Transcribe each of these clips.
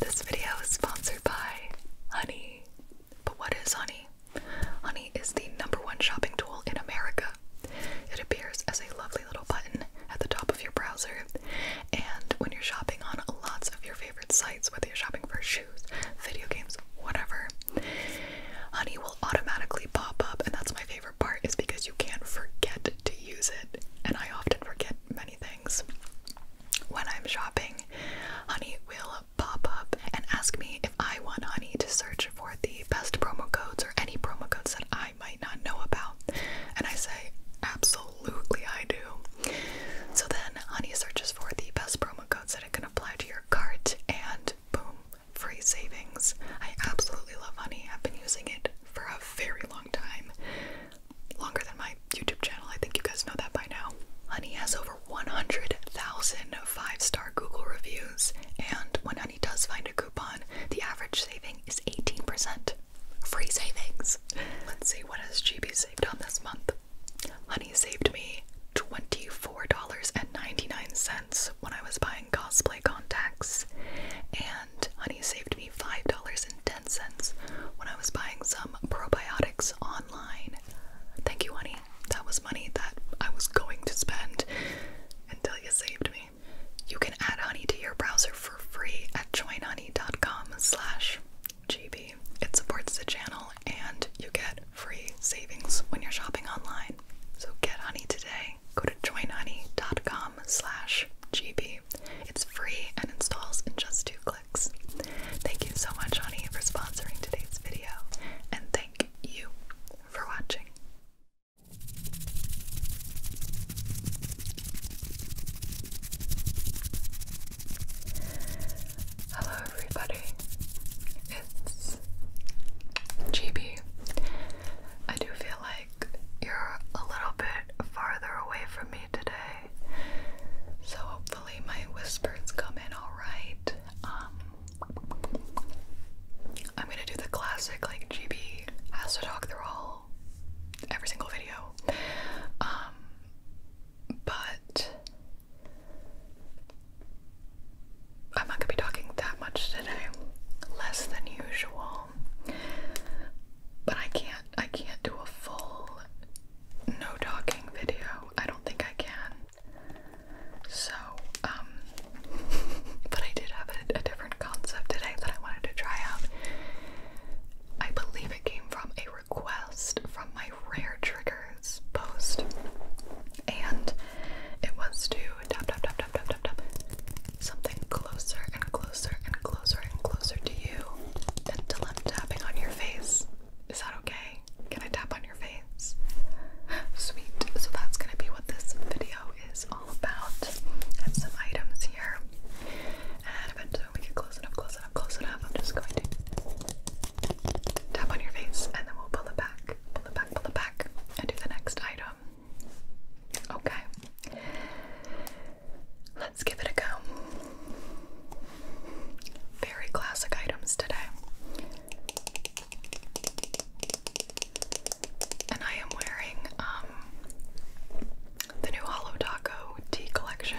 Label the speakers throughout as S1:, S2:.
S1: This video is sponsored by Honey. But what is Honey? Honey is the number one shopping tool in America. It appears as a lovely little button at the top of your browser, and when you're shopping on lots of your favorite sites, whether you're shopping for shoes, video games, whatever, Honey will automatically pop up, and that's my favorite part is because you can't forget to use it. And I often forget many things. When I'm shopping, Honey will pop up and ask me if I want Honey to search for the best promo codes or any promo codes that I might not know about. And I say, Absolutely, I do. So then Honey searches for the best promo codes that it can apply to your cart, and boom, free savings. I absolutely love Honey. I've been using it for a very long time longer than my YouTube channel. I think you guys know that by now. Honey has over 100,000 five star Google reviews, and when Honey does find a coupon, the average saving is 18%. Free savings. Let's see, what has GB saved on this month? Honey saved me $24.99 when I was buying cosplay contacts, and. Honey saved me $5.10 when I was buying some probiotics online. Thank you, Honey. That was money that I was going to spend until you saved me. You can add Honey to your browser for free at joinhoney.com slash GB. It supports the channel and you get free savings when you're shopping online. So get honey today. Go to joinhoney.com slash GB it's free and installs in just two clicks. Thank you so much, honey, for sponsoring today's video, and thank you for watching. Hello, everybody. It's GB. I do feel like you're a little bit farther away from me today, so hopefully my whispers come in alright. Um, I'm gonna do the classic, like, GB has to talk through all every single video. Um, but I'm not gonna be talking that much today, less than usual. But I can't I can't do a full no talking video. I don't think I can. So, um but I did have a, a different concept today that I wanted to try out. I believe it came from a request from my rare triggers post. And it was to tap tap tap tap tap tap tap something closer and closer and closer and closer to you until I'm tapping on your face. Is that okay? Can I tap on your face? Sweet. So that's going to be what this video is all about. have some items here. And eventually, we get close enough, close enough, close enough, I'm just going to tap on your face and then we'll pull it back, pull it back, pull it back, and do the next item. Okay. Let's give it a go. Very classic items today. And I am wearing um the new Hollow Taco tea collection.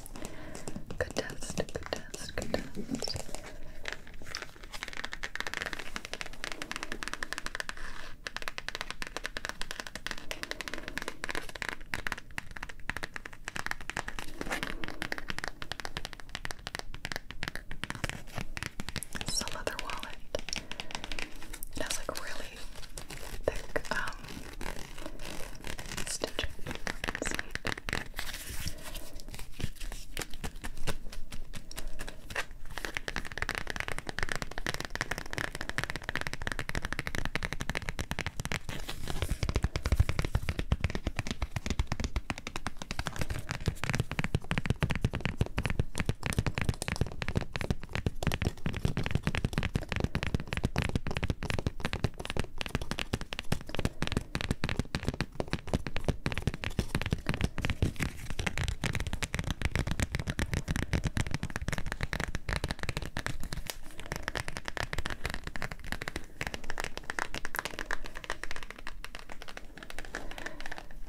S1: Good test, good test, good test. wallet. It like really thick um, Stitch it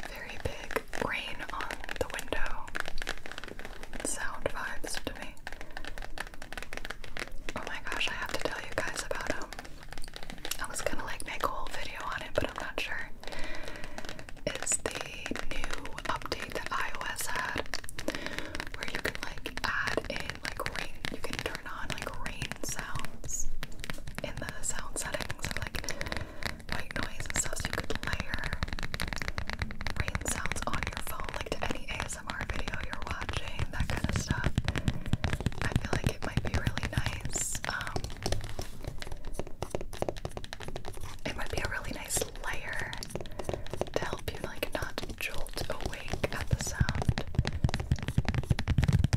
S1: very big rain on the window sound vibes to me. Oh my gosh, I have to tell you guys about him. Um, I was gonna like make a whole video on it, but I'm not sure. It's the new update that iOS had where you can like add in like rain, you can turn on like rain sounds in the sound settings like white noise and stuff so you could layer rain sounds on your phone like to any ASMR video you're watching, that kind of stuff. I feel like it might be really nice. Um, it might be a really nice layer to help you like not jolt awake at the sound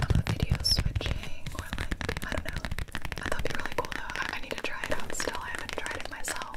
S1: of a switching or like I don't know. I thought it'd be really cool though. I need to try it out still. I haven't tried it myself.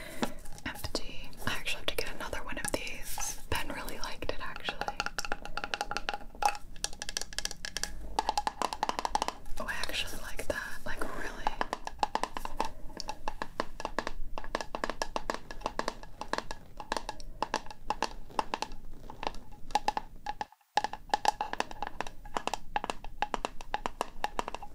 S1: empty. I actually have to get another one of these. Ben really liked it actually. Oh, I actually like that. Like, really.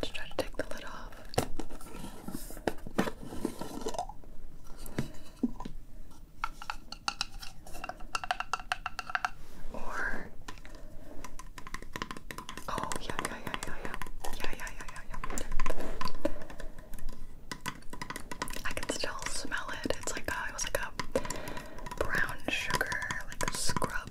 S1: Just try to take the lid off. Or oh yeah yeah yeah yeah yeah yeah yeah yeah yeah yeah. I can still smell it. It's like a, it was like a brown sugar like a scrub.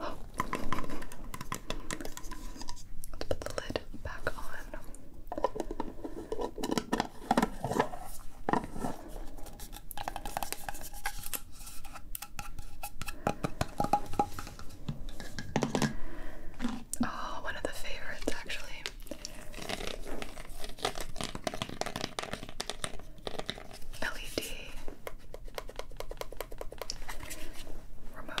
S1: Oh. Let's put the lid back on. Oh, one of the favorites, actually. LED remote.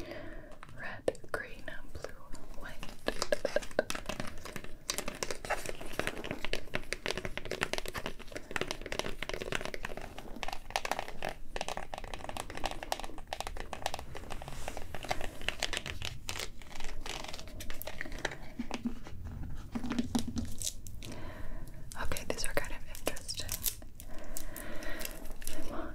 S1: Red, green, blue, white. Okay, these are kind of interesting. Come on.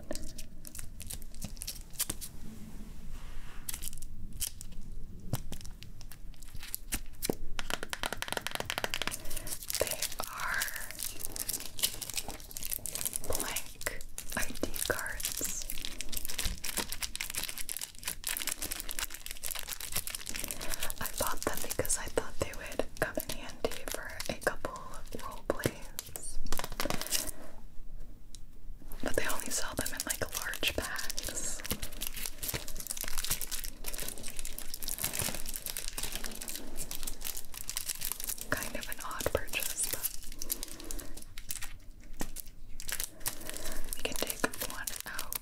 S1: They are blank ID cards. I bought them because I thought they would come in handy for a couple of role plays. But they only sell them in like large packs. Kind of an odd purchase, but we can take one out.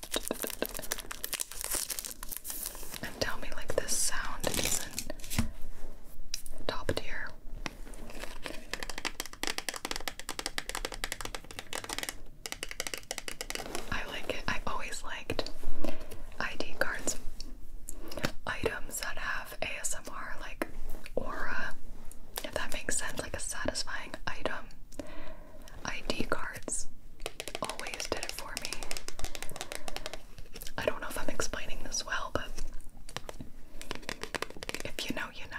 S1: And tell me, like, this sound isn't top tier. I like it. I always liked ID cards, items that have ASMR. ASMR like aura, if that makes sense, like a satisfying item. ID cards always did it for me. I don't know if I'm explaining this well, but if you know, you know.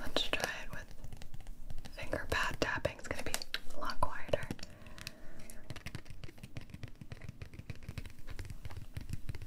S1: Let's try it with finger pad tapping. It's going to be a lot quieter.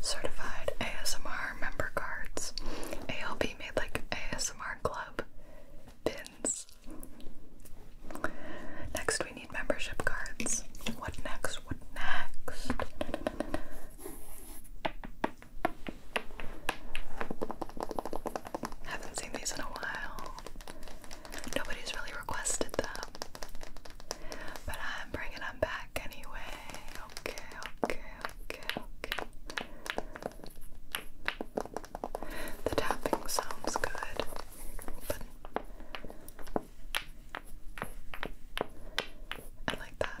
S1: Certified ASMR member cards. ALB made like ASMR club pins. Next, we need membership cards. What next? What next? Haven't seen these in a while. Nobody's really requested them. But I'm bringing them back anyway. Okay, okay, okay, okay. The tapping sounds good, but I like that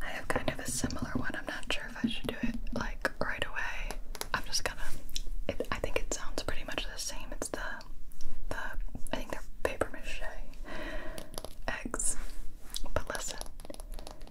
S1: I have kind of a similar one. I'm not sure if I should do it like right away. I'm just gonna. It, I think it sounds pretty much the same. It's the the I think they're paper mache eggs, but listen,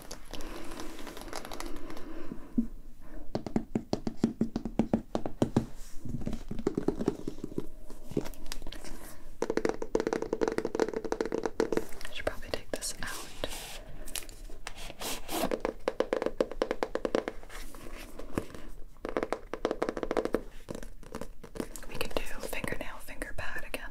S1: I should probably take this out. We can do fingernail finger pad again.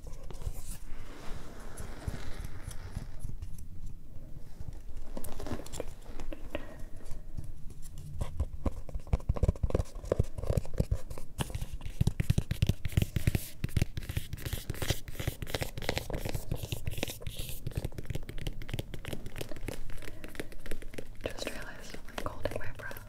S1: Just realized I'm holding my breath.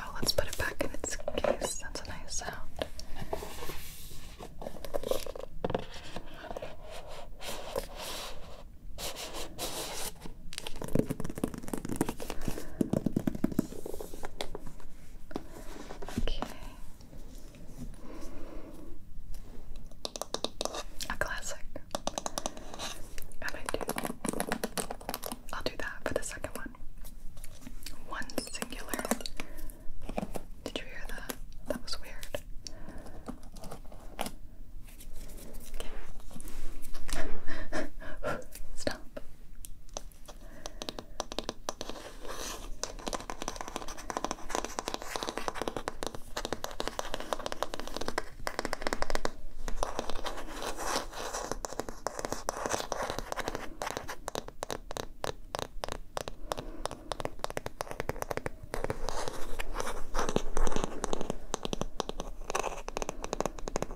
S1: Oh, let's put it back in its case. That's a nice sound. Okay. A classic. And I do. I'll do that for the second one. One singular. Did you hear that? That was weird. Okay. Stop. Okay.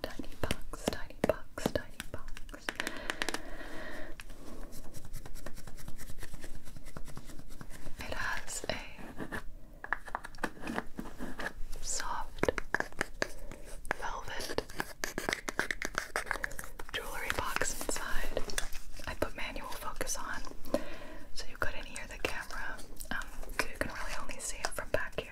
S1: tiny box, tiny box, tiny box. It has a soft velvet jewelry box inside. I put manual focus on so you couldn't hear the camera, um, you can really only see it from back here.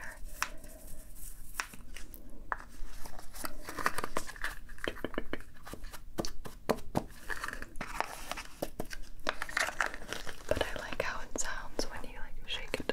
S1: But I like how it sounds when you like shake it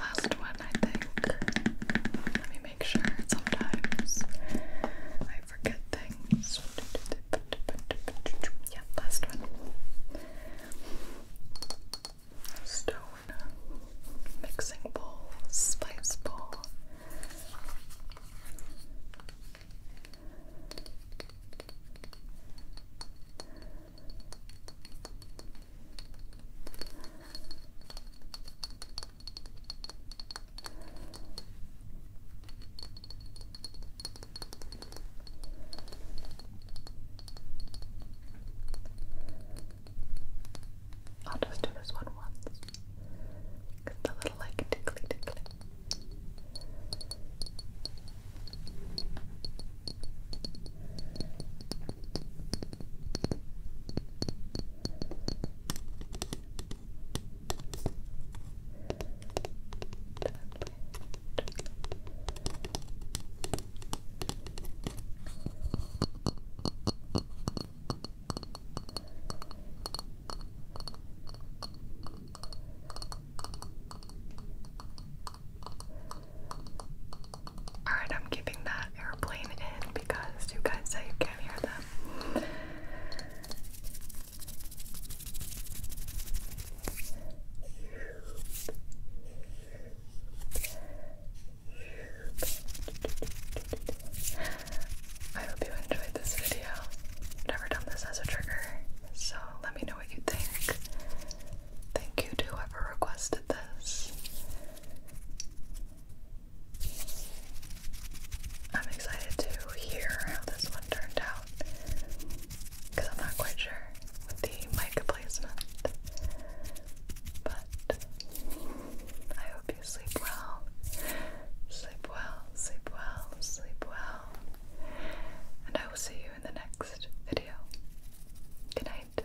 S1: Last one, I think. Let me make sure. Sometimes I forget things. Yeah, last one. Stone, mixing bowl, spice bowl, I'll just do this one once. Get the little like tickly tickly. Gently, gently. Alright, I'm keeping that airplane in because you guys say you can't hear them. I hope you enjoyed this video. never done this as a trigger, so let me know what you think. Thank you to whoever requested this. I'm excited to hear how this one turned out because I'm not quite sure with the mic placement. But I hope sleep well. Sleep well, sleep well, sleep well. And I will see you in the next video. Good night.